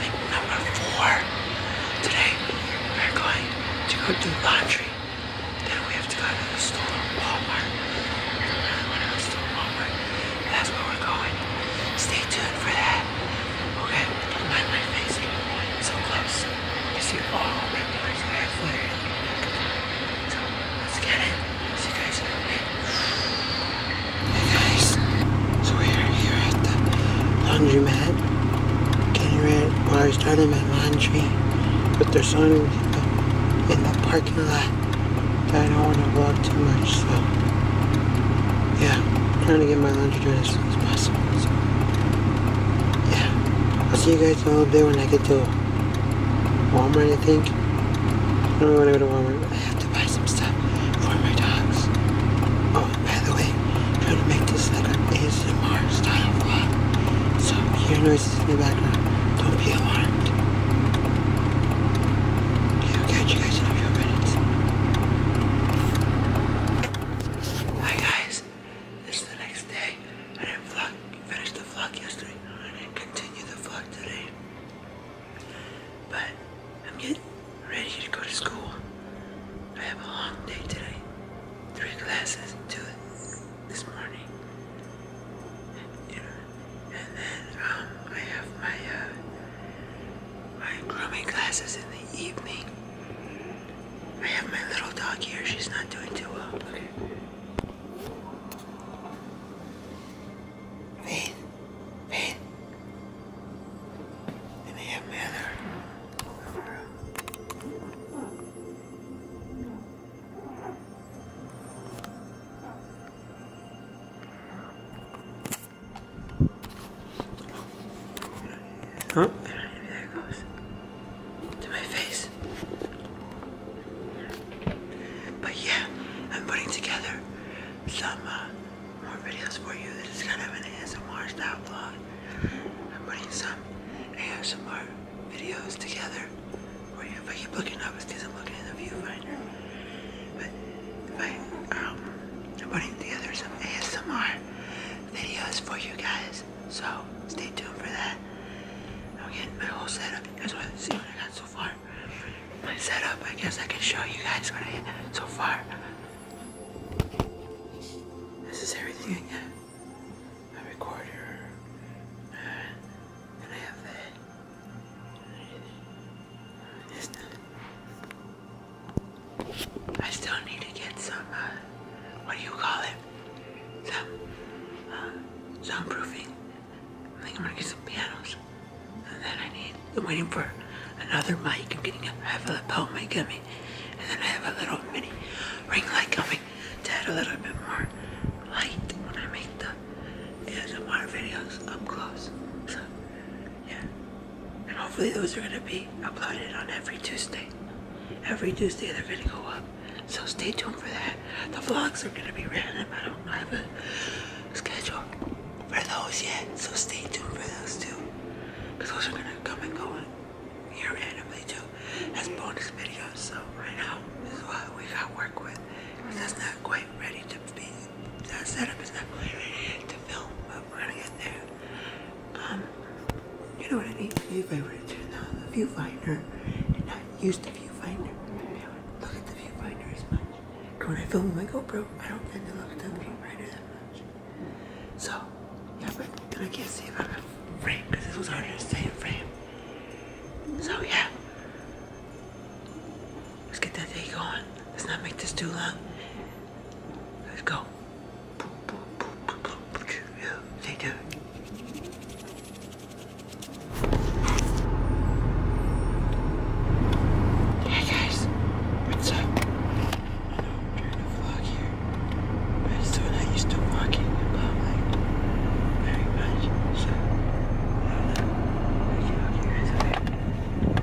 thing number four. Today, we're going to go do laundry. Then we have to go to the store, Walmart. Walmart. That's where we're going. Stay tuned for that. Okay, my face. i so close. You see all my flares. So, let's get it. you guys guys, so we're here at the laundry mat. getting ready, while I starting my laundry, but there's so in the parking lot I don't want to vlog too much, so yeah, trying to get my laundry done as soon as possible, so yeah, I'll see you guys a little bit when I get to Walmart I think, I don't really want to go to Walmart, to buy some stuff for my dogs. Oh, by the way, I'm trying to make this like an ASMR style vlog. So if you hear noises in the background, don't be alarmed. Okay, you guys in a few minutes. Hi guys, it's the next day. I didn't vlog, finish the vlog yesterday, and I continue the vlog today. But I'm getting ready to go to school. I have a long day today. Three classes, two this morning. and then um, I have my uh, my grooming classes in the evening. I have my little dog here. She's not doing too well. Wait, wait. Let me have Huh? To my face. But yeah, I'm putting together some uh, more videos for you. This is kind of an ASMR style vlog. I'm putting some ASMR videos together for you. If I keep looking up, it's because looking in the viewfinder. But um, I'm putting together some ASMR videos for you guys. So stay tuned for that. I'm getting my whole setup. You guys want to see what I got so far? My setup, I guess I can show you guys what I got so far. This is everything I got. My recorder. Uh, and I have that. I still need to get some, uh, what do you call it? some uh, soundproofing, I think I'm gonna get some pianos, and then I need, I'm waiting for another mic, I'm getting a half a lapel pole mic coming, and then I have a little mini ring light coming to add a little bit more light when I make the ASMR videos up close, so yeah, and hopefully those are gonna be uploaded on every Tuesday. Every Tuesday they're gonna go up. So stay tuned for that. The vlogs are gonna be random. I don't have a schedule for those yet. So stay tuned for those too. Cause those are gonna come and go here randomly too as bonus videos. So right now this is what we got work with. Cause that's not quite ready to be set up. It's not quite ready to film, but we're gonna get there. Um, you know what I need to do if I were to turn on the viewfinder and not use the viewfinder? I look at the viewfinder When I film with my GoPro, I don't tend to look at the viewfinder that much. So, yeah, but I can't see if I'm in frame because this was harder to stay in frame. So, yeah. Let's get that day going. Let's not make this too long. Let's go. Hey guys, what's up? I know I'm trying to vlog here, but it's when I to walking about like very much, so I don't know. I get out here,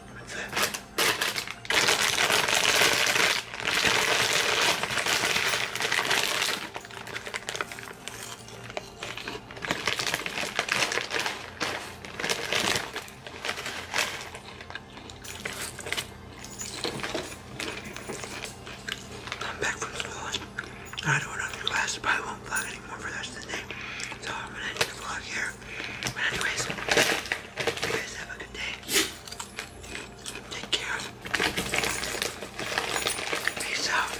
I'm back from school I do another class. I won't vlog anymore for the rest of the day. So I'm gonna end the vlog here. But anyways, you guys have a good day. Take care. Peace out.